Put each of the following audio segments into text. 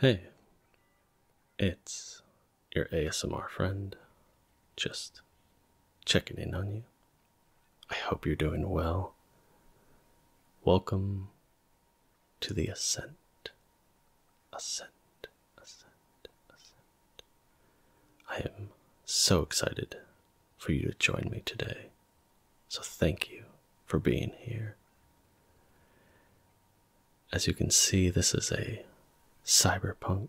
Hey, it's your ASMR friend. Just checking in on you. I hope you're doing well. Welcome to the Ascent. Ascent, Ascent, Ascent. I am so excited for you to join me today so thank you for being here. As you can see, this is a cyberpunk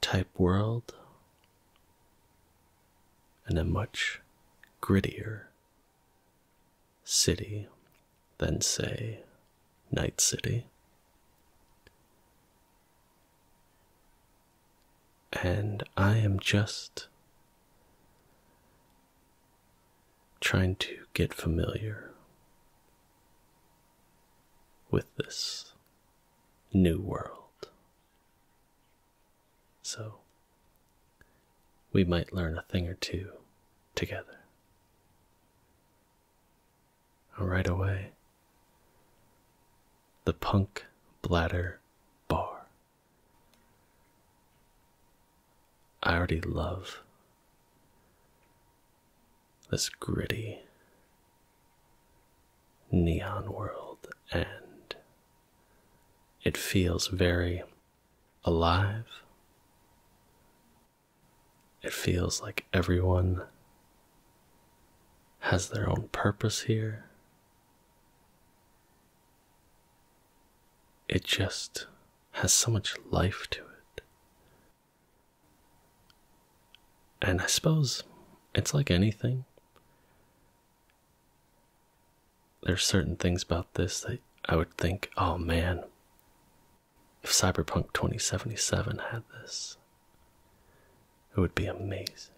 type world and a much grittier city than, say, Night City. And I am just trying to get familiar with this new world. So, we might learn a thing or two together. Right away, the Punk Bladder Bar. I already love this gritty neon world, and it feels very alive. It feels like everyone has their own purpose here. It just has so much life to it. And I suppose it's like anything. There's certain things about this that I would think, oh man, if Cyberpunk 2077 had this, it would be amazing.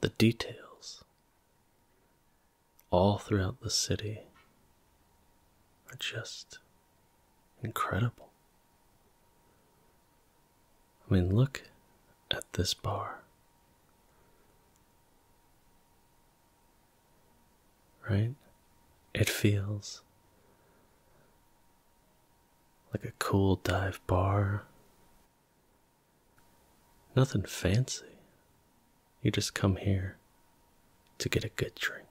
The details, all throughout the city are just incredible. I mean, look at this bar. Right? It feels like a cool dive bar Nothing fancy. You just come here to get a good drink.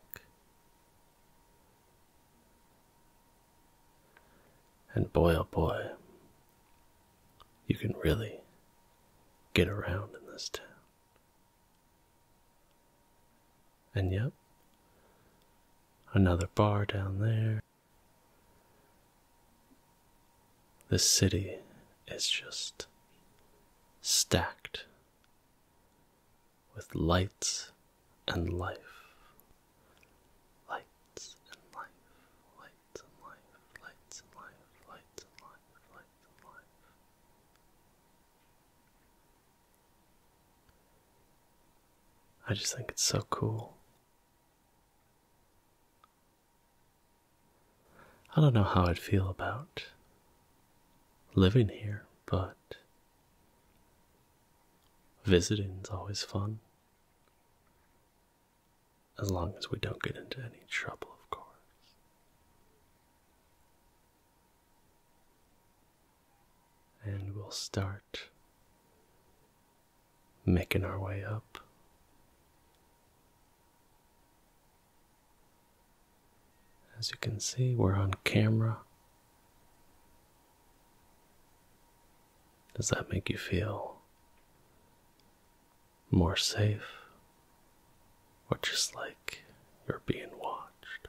And boy, oh boy, you can really get around in this town. And yep, another bar down there. The city is just stacked with lights and life. Lights and life, lights and life, lights and life, lights and life, lights and life. I just think it's so cool. I don't know how I'd feel about living here, but visiting's always fun. As long as we don't get into any trouble, of course. And we'll start making our way up. As you can see, we're on camera. Does that make you feel more safe? Or just like you're being watched?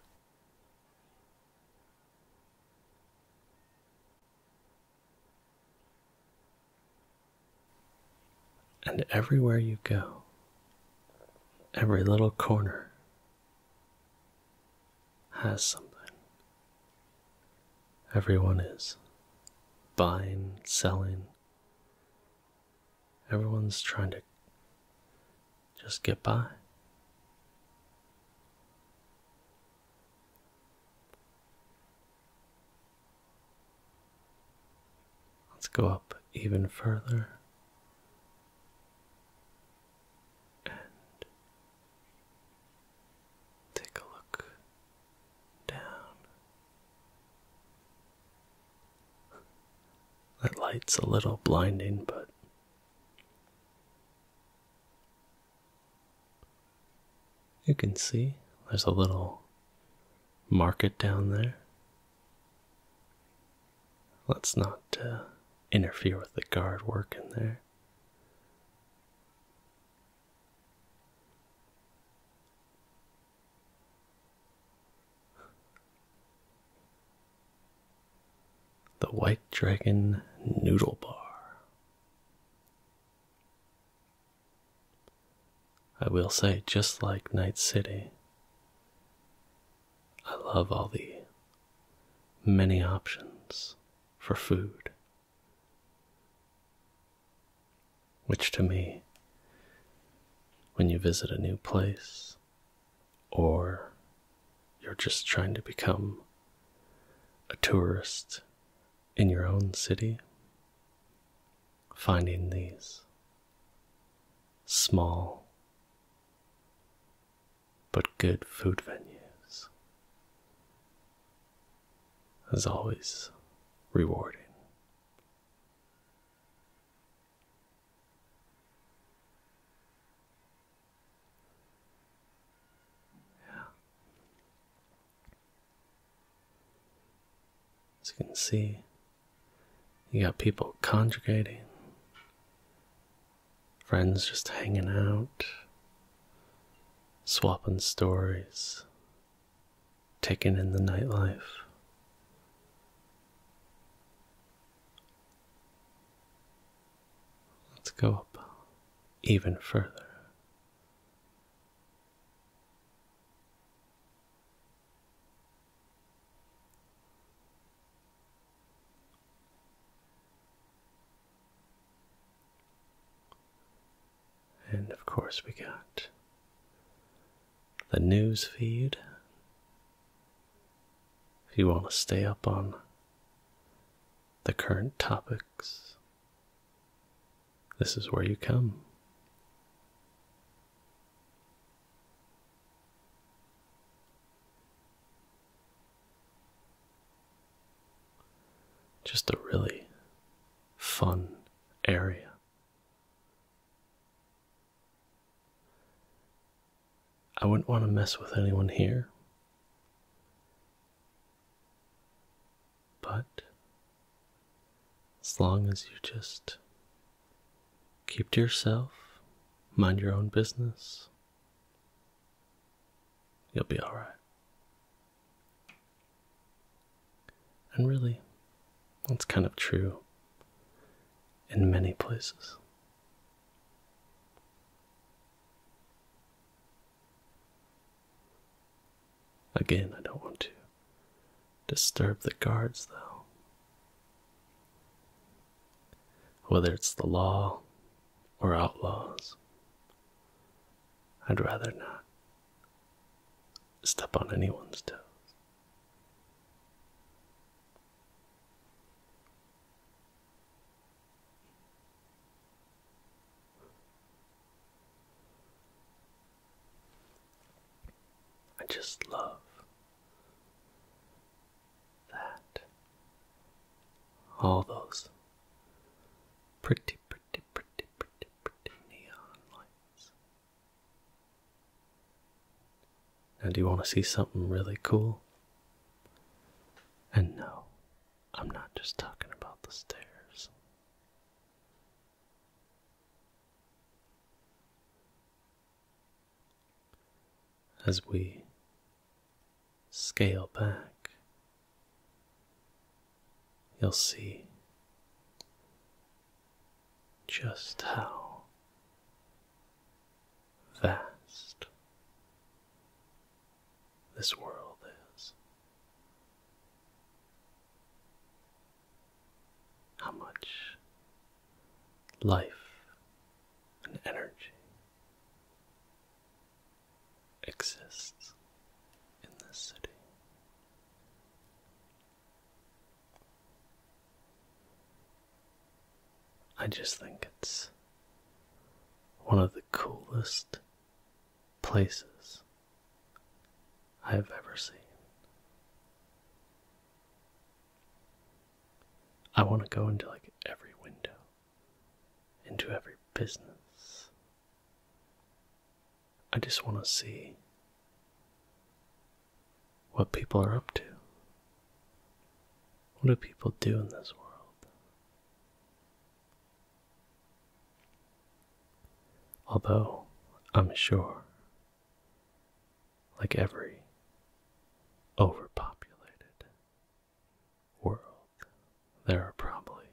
And everywhere you go, every little corner has something. Everyone is buying, selling. Everyone's trying to just get by. Let's go up even further and take a look down. That light's a little blinding, but you can see there's a little market down there. Let's not uh, interfere with the guard working there. The White Dragon Noodle Bar. I will say, just like Night City, I love all the many options for food, which to me, when you visit a new place or you're just trying to become a tourist in your own city, finding these small but good food venues is always rewarding. Yeah. As you can see, you got people congregating, friends just hanging out, swapping stories, taking in the nightlife. Let's go up even further and of course, we got the news feed. If you want to stay up on the current topics, this is where you come. Just a really fun area. I wouldn't want to mess with anyone here. But as long as you just keep to yourself, mind your own business, you'll be alright. And really, that's kind of true in many places. Again, I don't want to disturb the guards, though. Whether it's the law or outlaws, I'd rather not step on anyone's toes. I just love that. All those pretty, pretty, pretty, pretty, pretty neon lights. Now, do you want to see something really cool? And no, I'm not just talking about the stairs. As we scale back, you'll see just how vast this world is how much life and energy exists in this city. I just think it's one of the coolest places I have ever seen. I want to go into like every window, into every business. I just want to see what people are up to. What do people do in this world? Although, I'm sure, like every overpopulated world, there are probably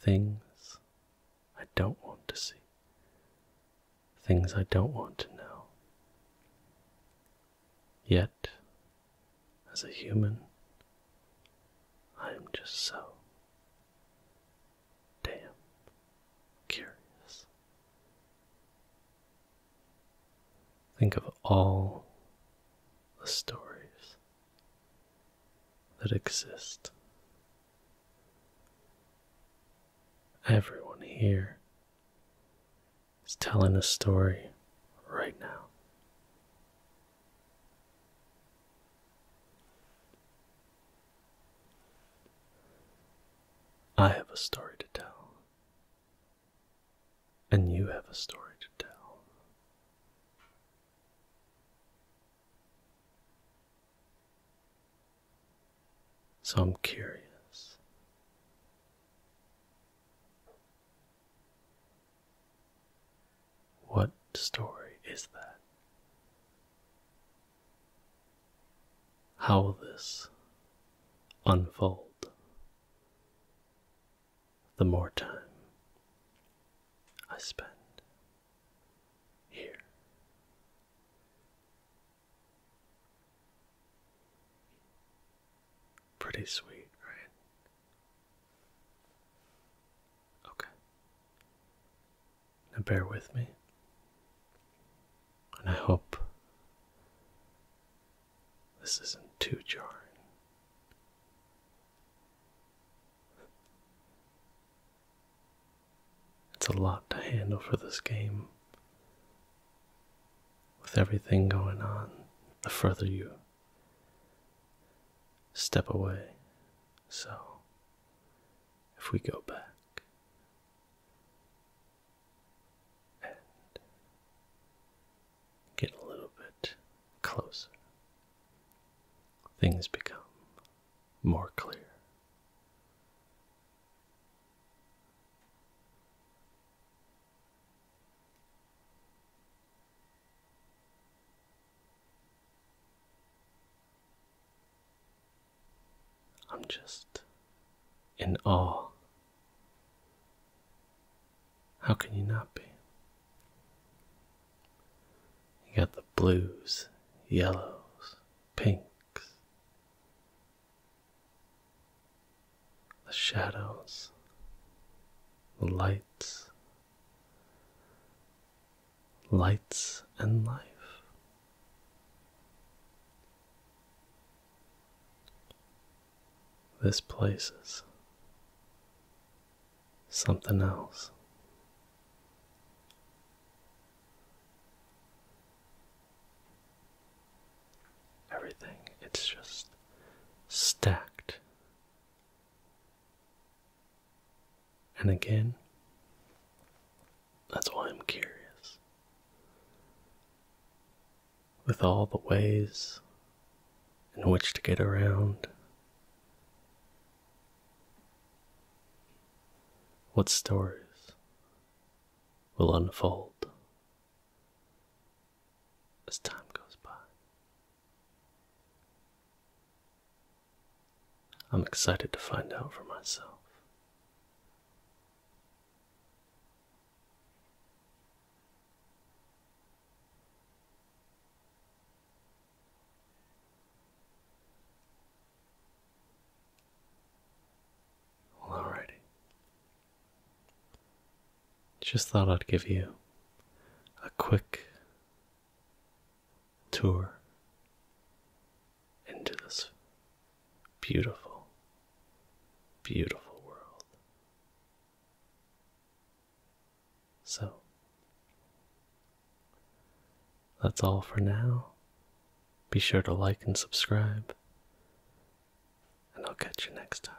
things I don't want to see, things I don't want to know. Yet, as a human, I am just so damn curious. Think of all the stories that exist. Everyone here is telling a story right now. I have a story to tell, and you have a story to tell. So I'm curious. What story is that? How will this unfold? The more time I spend here. Pretty sweet, right? Okay. Now bear with me. And I hope this isn't too jarring. It's a lot to handle for this game. With everything going on, the further you step away so, if we go back and get a little bit closer, things become more clear. I'm just in awe. How can you not be? You got the blues, yellows, pinks, the shadows, the lights, lights and life. This place is something else. Everything, it's just stacked and again, that's why I'm curious. With all the ways in which to get around, what stories will unfold as time goes by? I'm excited to find out for myself. Well, alrighty. Just thought I'd give you a quick tour into this beautiful, beautiful world. So, that's all for now. Be sure to like and subscribe, and I'll catch you next time.